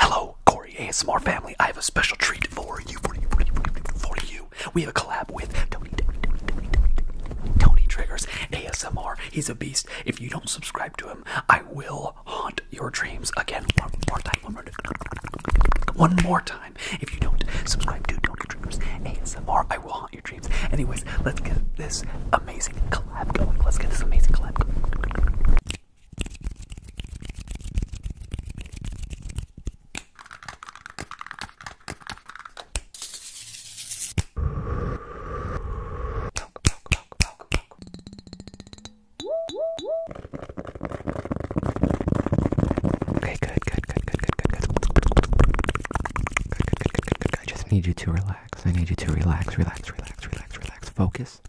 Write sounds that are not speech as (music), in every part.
Hello, Corey ASMR family. I have a special treat for you, for you, for you, for you. We have a collab with Tony, Tony, Triggers ASMR. He's a beast. If you don't subscribe to him, I will haunt your dreams again. One more time. One more time. One more time. If you don't subscribe to Tony Triggers ASMR, I will haunt your dreams. Anyways, let's get this amazing collab going. Let's get this amazing collab going. Okay, good, good, good, good, good, good, good. Good, good, good, good, good, I just need you to relax. I need you to relax, relax, relax, relax, relax. Focus.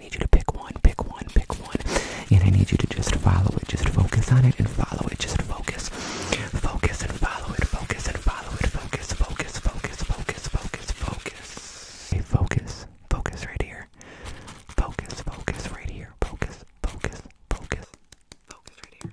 I need you to pick one, pick one, pick one. And I need you to just follow it, just focus on it and follow it, just focus. Focus and follow it, focus and follow it, focus, focus, focus, focus, focus, focus. Okay, focus, focus right here. Focus, focus right here. Focus, focus, focus, focus right here.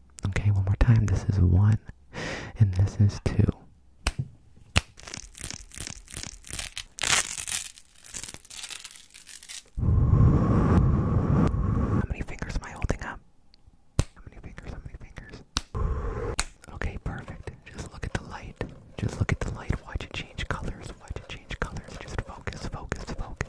Okay, one more time. This is one, and this is two. How many fingers am I holding up? How many fingers? How many fingers? Okay, perfect. Just look at the light. Just look at the light. Watch it change colors. Watch it change colors. Just focus, focus, focus.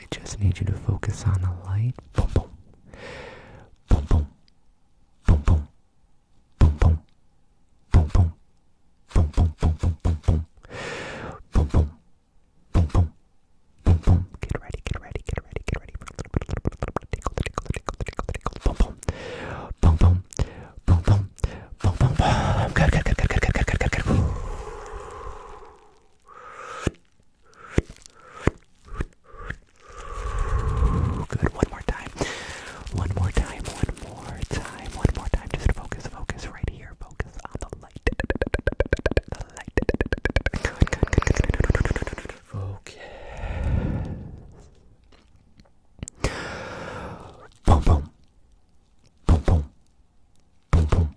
I just need you to focus on the light. Boom, boom. Boom, boom. Boom, boom. Boom, boom. Boom, boom. Boom, boom, boom, boom, boom, boom. Boom, boom. Boom, boom. Boom, boom. Get ready, get ready, get ready, get ready. Tickle, tickle, tickle, tickle, tickle. Boom, boom. Boom, boom. Boom, boom. Boom, boom, boom. Good, good, good, good, good, good, good, good, good. Good. One more time. One more time. One more time. One more time. Just focus. Focus right here. Focus on the light. The light. Good. Good. Good. Focus. Boom. Boom. Boom. Boom. Boom. Boom.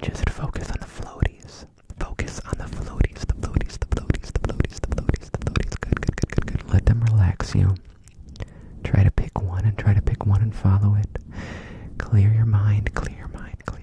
just focus on the floaties. Focus on the floaties, the floaties, the floaties, the floaties, the floaties, the floaties. Good, good, good, good, good. Let them relax you. Try to pick one and try to pick one and follow it. Clear your mind, clear your mind, clear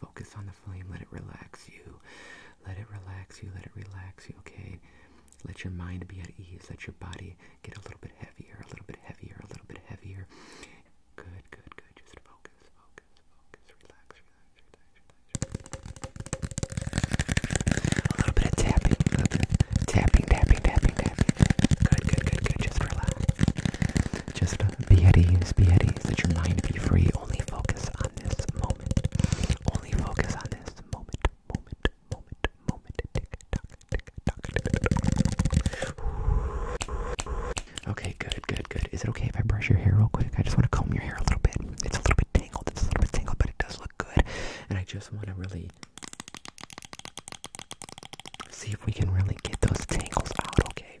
Focus on the flame. Let it relax you. Let it relax you. Let it relax you, okay? Let your mind be at ease. Let your body get a little bit heavier, a little bit heavier, a little bit heavier. Good, good, good. Just focus, focus, focus. Relax, relax, relax, relax. A little bit of tapping, tapping, tapping, tapping, tapping. Good, good, good, good. Just relax. Just be beheadings, beheadings. Let your mind be free. Only focus on this moment. Only focus on this moment, moment, moment, moment. Tick tock, tick tock. Okay, good, good, good. Is it okay if I brush your hair real quick? I just want to comb your hair a little bit. It's a little bit tangled. It's a little bit tangled, but it does look good. And I just want to really see if we can really get those tangles out. Okay.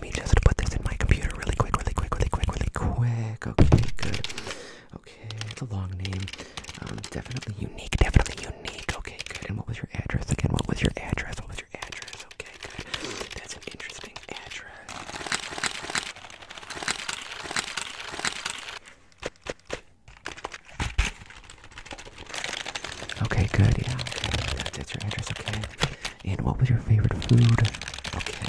let me just put this in my computer really quick, really quick, really quick, really quick. Okay, good. Okay, it's a long name. Um, definitely unique, definitely unique. Okay, good. And what was your address again? What was your address? What was your address? Okay, good. That's an interesting address. Okay, good. Yeah, okay, that's your address. Okay, and what was your favorite food? Okay.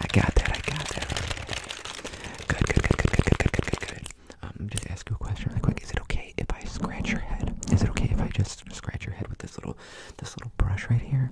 I got that. I got that. Good, good, good, good, good, good, good, good, good, good. Um, just ask you a question really quick. Is it okay if I scratch your head? Is it okay if I just scratch your head with this little, this little brush right here?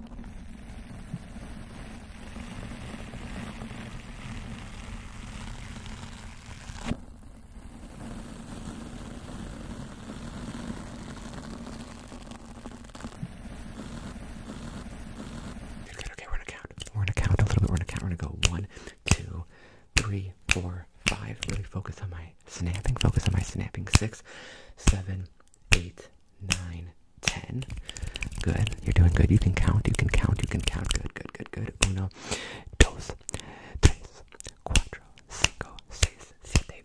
Good, okay, we're gonna count. We're gonna count a little bit. We're gonna count. We're gonna go one, two, three, four, five. Really focus on my snapping. Focus on my snapping. Six, seven, eight, nine, ten. Good. You're doing good. You can count. You can count. You can count. Good, good, good, good. Uno, dos, tres, cuatro, cinco, seis, siete,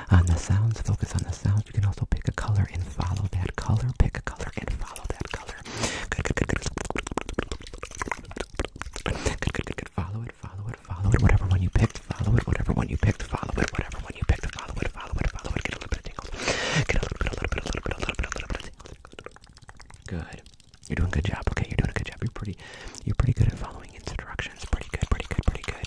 on the sounds. Focus on the sounds. You can also pick a color and follow that color. Pick a color and follow that color. Good, good, good, good. Follow it, follow it, follow it. Whatever one you picked, follow it. Whatever one you picked, follow it. Whatever one you picked, follow it, follow it, follow it. Get a little bit Get a little bit, a little bit, a little bit, a little bit, a little bit of tingles. Good. You're doing a good job. Okay, you're doing a good job. You're pretty, you're pretty good at following instructions. Pretty good, pretty good, pretty good.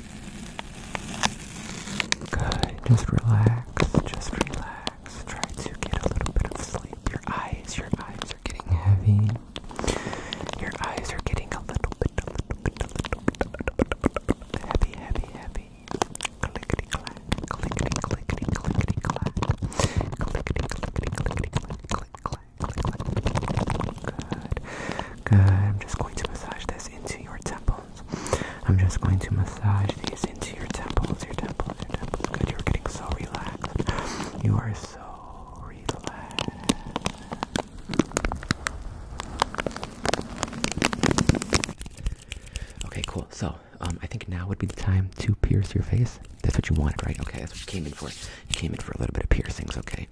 Good, just relax, just relax. Try to get a little bit of sleep. Your eyes, your eyes are getting heavy. Your eyes are getting a little bit, a little bit, a little bit, a little bit, a little bit heavy, heavy, heavy. Clickety clack, clickety, clickety, clickety clack, clickety, clickety, clickety, click, clack, click, clack. Good, good. I'm just going to massage this into your temple I'm just going to massage these into your temples, your temples, your temples. Good, you're getting so relaxed. You are so relaxed. Okay, cool. So, um, I think now would be the time to pierce your face. That's what you wanted, right? Okay, that's what you came in for. You came in for a little bit of piercings, okay?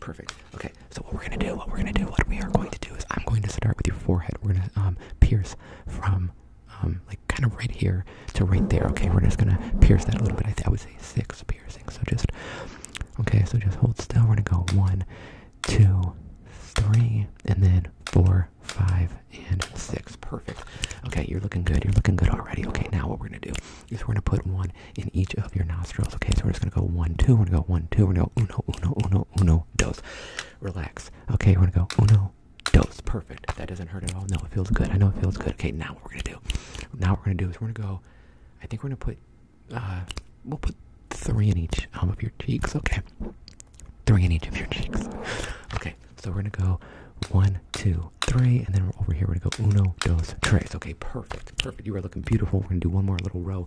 Perfect. Okay, so what we're gonna do, what we're gonna do, what we are going to do is I'm going to start with your forehead. We're gonna um, pierce from um, like kind of right here to right there. Okay, we're just gonna pierce that a little bit. I, I would say six piercings. So just okay. So just hold still. We're gonna go one, two, three, and then four, five, and six. Perfect. Okay, you're looking good. You're looking good already. Okay, now what we're gonna do is we're gonna put one in each of your nostrils. Okay, so we're just gonna go one, two. We're gonna go one, two. We're gonna go uno, uno, uno, uno, dos. Relax. Okay, we're going to go? Oh no. Dose. Perfect. That doesn't hurt at all. No, it feels good. I know it feels good. Okay, now what we're going to do. Now what we're going to do is we're going to go. I think we're going to put. Uh, we'll put three in each um, of your cheeks. Okay. Three in each of your cheeks. Okay, so we're going to go one, two, three, and then we're over here we're gonna go uno, dos, tres. Okay, perfect, perfect. You are looking beautiful. We're gonna do one more little row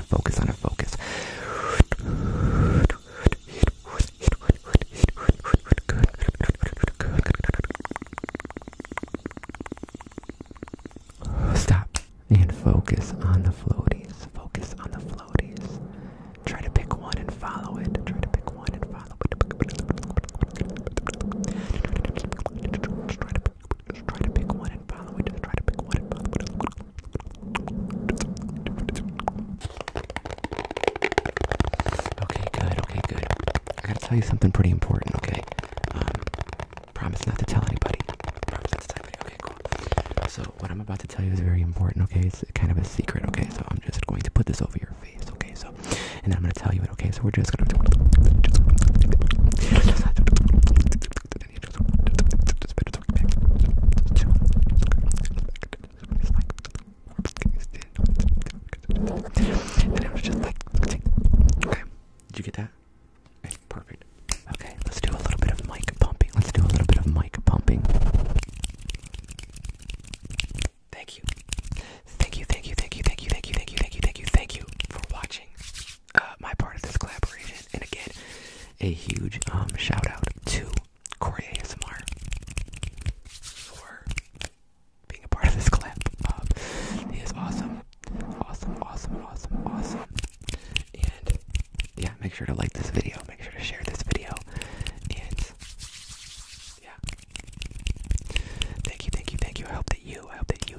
focus on to focus. Stop and focus on the floaties. Focus on the floaties. Try to pick one and follow it. Try to pick one and follow it. Just try to pick one and follow it. Just try to pick one and follow it. Okay, good. Okay, good. I gotta tell you something pretty important. Okay. Um, promise not to tell anybody. Promise not to Okay, cool. So what I'm about to tell you is very important. Okay, it's kind of a secret. Okay, so I'm just going to put this over your face. Okay, so and I'm gonna tell you it. Okay, so we're just gonna. And it was just like, okay. Did you get that? perfect. Okay, let's do a little bit of mic pumping. Let's do a little bit of mic pumping. Thank you, thank you, thank you, thank you, thank you, thank you, thank you, thank you, thank you for watching. Uh, my part of this collaboration. And again, a huge um, shout out to Corey ASMR for being a part of this collab. Um, he is awesome, awesome, awesome, awesome, awesome. And yeah, make sure to like this video. Make sure to share this video. And yeah, thank you, thank you, thank you. I hope that you, I hope that you,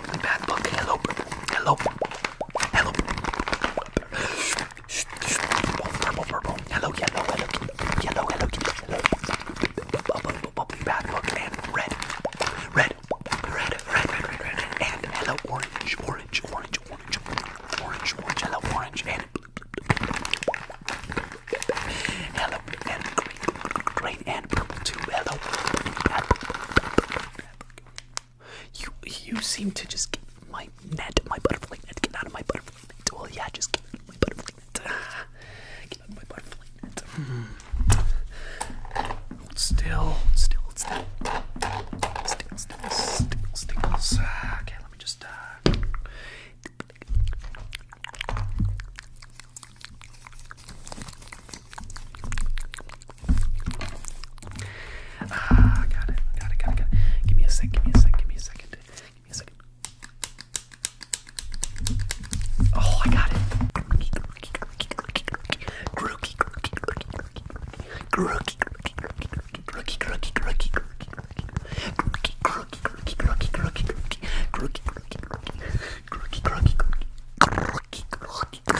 The bad book. Hello. Hello. Hello. Purple, purple. Hello, yellow, hello, yellow, hello, hello. Bad book and red. Red. Red, red, red, red, red. And hello, orange, orange, orange, orange, orange, orange, hello, orange, and hello, and green and purple too. Hello. You you seem to just get my net, my butterfly net. Get out of my butterfly net. yeah, just get out of my butterfly net. (sighs) Get out of my butterfly net. Hold hmm. still, hold still, hold still. Still, still, still, Okay, let me just. Uh, Ah, got it, got it, got it, got it. Give me a sec, give me a sec, give me a second. Give me a second. Oh, I got it. Grooky, grooky, grooky, grooky, grooky, grooky, grooky. Okay,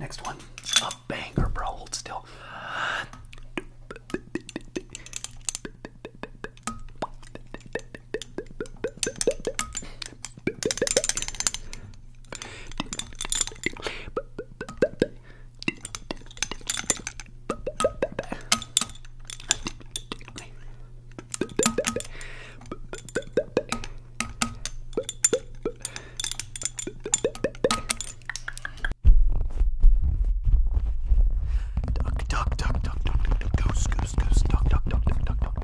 next one. A banger, bro. Hold still. Duck, duck, duck, duck, duck, duck, duck, goose, goose, goose, duck, duck, duck, duck, duck, duck,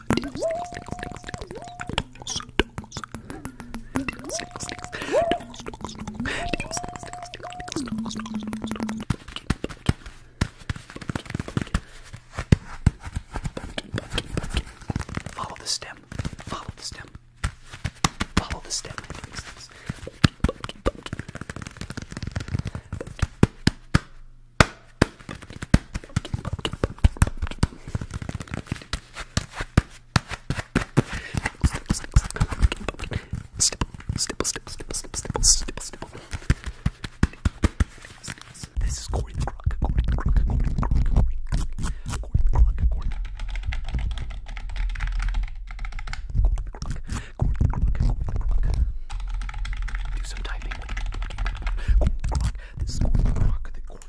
Follow the stem. Follow the stem. Follow the stem. This is Corey the Croc, Corey the Croc, Corey the Croc, Corey the Croc, Corey the do some typing. This is Corey the Croc, the Corey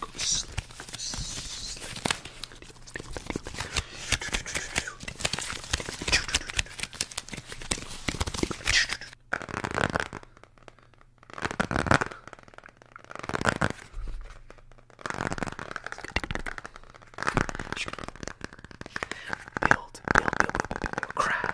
Go to sleep. Go to sleep. Build, build, build, build, build, build, build. craft,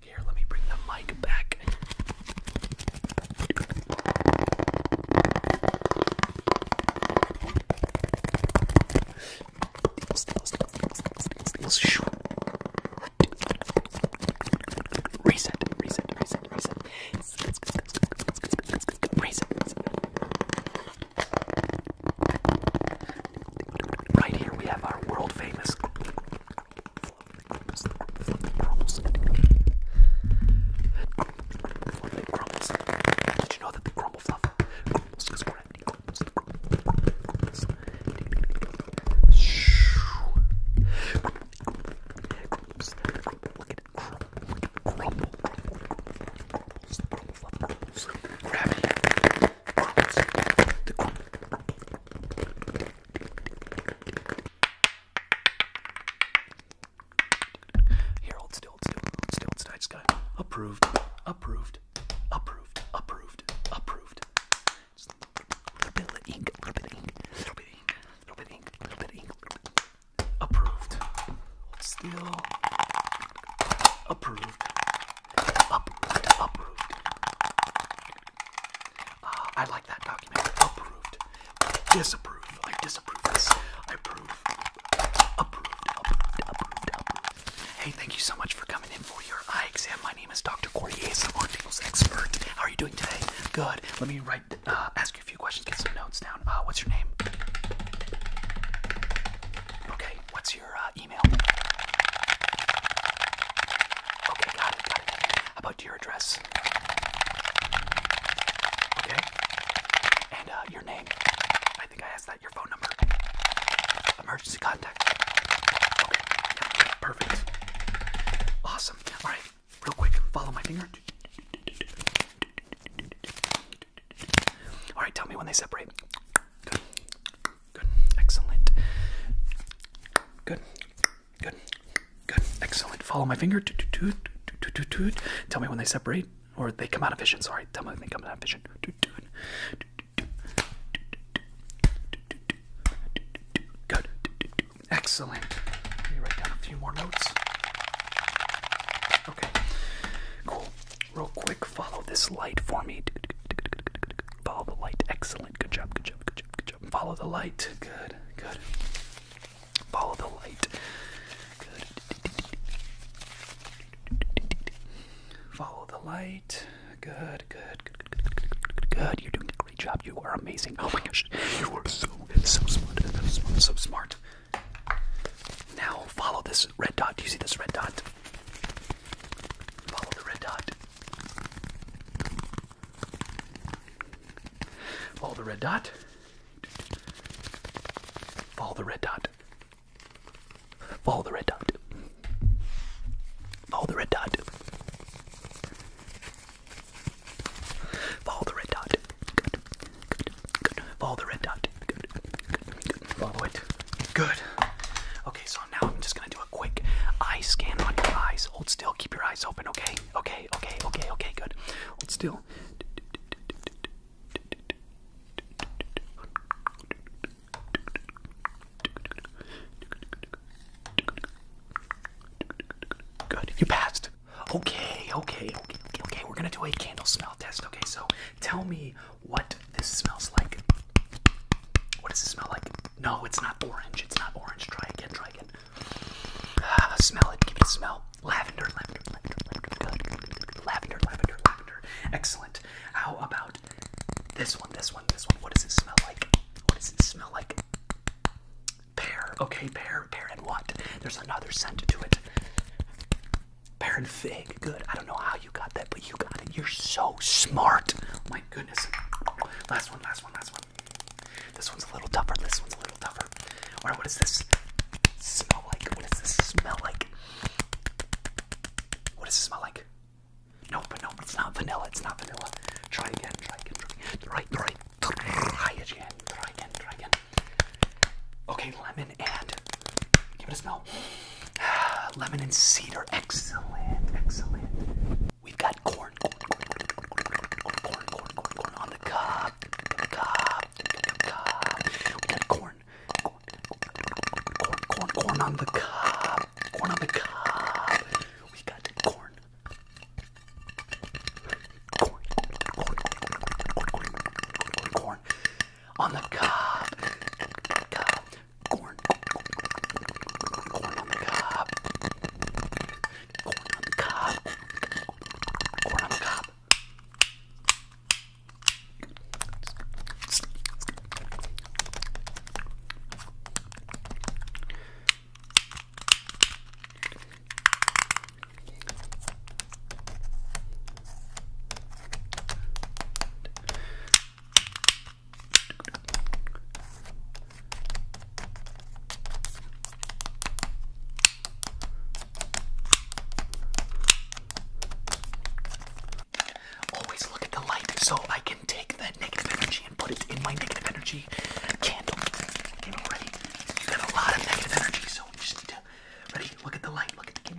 Here, let me bring the mic back. Reset, reset, reset, reset. Reset. Right here we have our world famous crumbles. Did you know that the crumble fluff crumbles is gravity? Crumbles, crumbles, crumbles. Look at it crumble, crumble, crumbles, crumble fluff, crumbles, gravity. Here, hold still, hold still, hold still, hold still. I just got approved, approved, approved, approved, approved. Just a little bit of ink, a little bit of ink, a little bit of ink, a little bit of ink, a little bit of ink. Approved. Hold still. Approved. Uproot, uproot. Uh, I like that document. Disapprove. I disapprove this. I approve. Uproot, uproot, uproot, Hey, thank you so much for coming in for your eye exam. My name is Dr. Cordier, I'm our tingles expert. How are you doing today? Good. Let me write, uh, ask you a few questions, get some notes down. Uh, what's your name? Okay, what's your uh, email? Okay, got it, got it. How about your address? Okay. And uh, your name. I think I asked that. Your phone number. Emergency contact. Okay. perfect. Awesome. All right. Real quick, follow my finger. All right. Tell me when they separate. Good. Excellent. Good. Good. Good. Excellent. Follow my finger. Toot, toot, toot, toot, toot. Tell me when they separate or they come out of vision. Sorry. Tell me when they come out of vision. Toot, toot. Good. Excellent. Let me write down a few more notes. Okay. Cool. Real quick, follow this light for me. Follow the light. Excellent. Good job. Good job. Good job. Good job. Follow the light. Good. Good. Follow the light. Good. Follow the light. Good. Good. Good. Good. Good. You're doing a great job. You are amazing. Oh my gosh. You are so so smart. So smart. So smart. Now follow this red dot. Do you see this red dot? dot. Follow the red dot. Follow the red dot. Follow the red dot. Follow the red dot. Follow the red dot. Follow the red dot. Good. Good. Good. Follow the red dot. Good, good, good. Follow it. Good. Okay, so now I'm just gonna do a quick eye scan on your eyes. Hold still, keep your eyes open, okay? Okay, okay, okay, okay, good. Hold still. Good, you passed. Okay, okay, okay, okay, okay. We're gonna do a candle smell test, okay? So Tell me what this smells like. What does it smell like? No, it's not orange. It's not orange. Try again. Try again. Ah, smell it. Give it a smell. Lavender, lavender, lavender, lavender. Good, Lavender, lavender, lavender. Excellent. How about this one? This one. This one. What does it smell like? What does it smell like? Pear. Okay, pear. Pear and what? There's another scent to it. Baron Fig, good. I don't know how you got that, but you got it. You're so smart. Oh my goodness. Last one, last one, last one. This one's a little tougher. This one's a little tougher. what is this smell like? What does this smell like? What does it smell like? Nope, but no, it's not vanilla. It's not vanilla. Try again, try again, try again. Try, try, try again, try again, try again. Okay, lemon and Give it a smell. Lemon and cedar. Excellent. Excellent. We've got corn. Corn, corn, corn, corn, corn, corn on the cob, The cup. The cob. We got corn. Corn, corn, corn, corn on the cob, Corn on the cob. We got corn. Corn, corn, corn, corn, corn, corn, corn, corn on the cup. Cup. Corn. Corn on the cob. Corn on the cob. Corn on the cob. Always look at the light so I can take that negative energy and put it in my negative energy candle. Okay, ready? You got a lot of negative energy, so you just need to. Ready? Look at the light. Look at the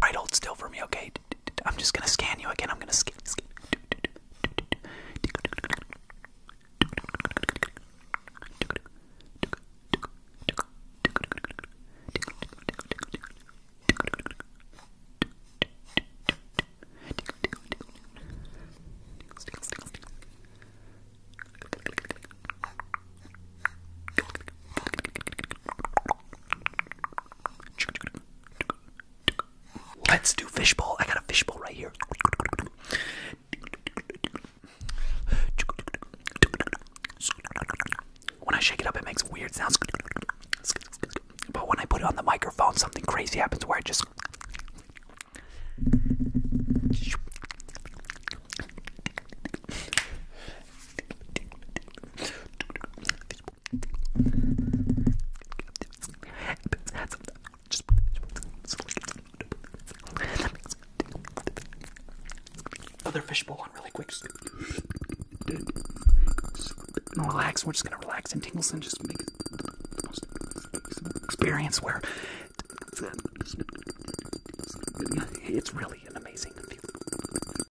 Right, hold still for me, okay? I'm just gonna scan you again. I'm gonna scan. scan. Let's do fishbowl. I got a fishbowl right here. When I shake it up, it makes weird sounds. But when I put it on the microphone, something crazy happens where I just. Another fishbowl one really quick. Just gonna relax. We're just gonna relax and tingles and just make it the most experience where it's really an amazing feeling.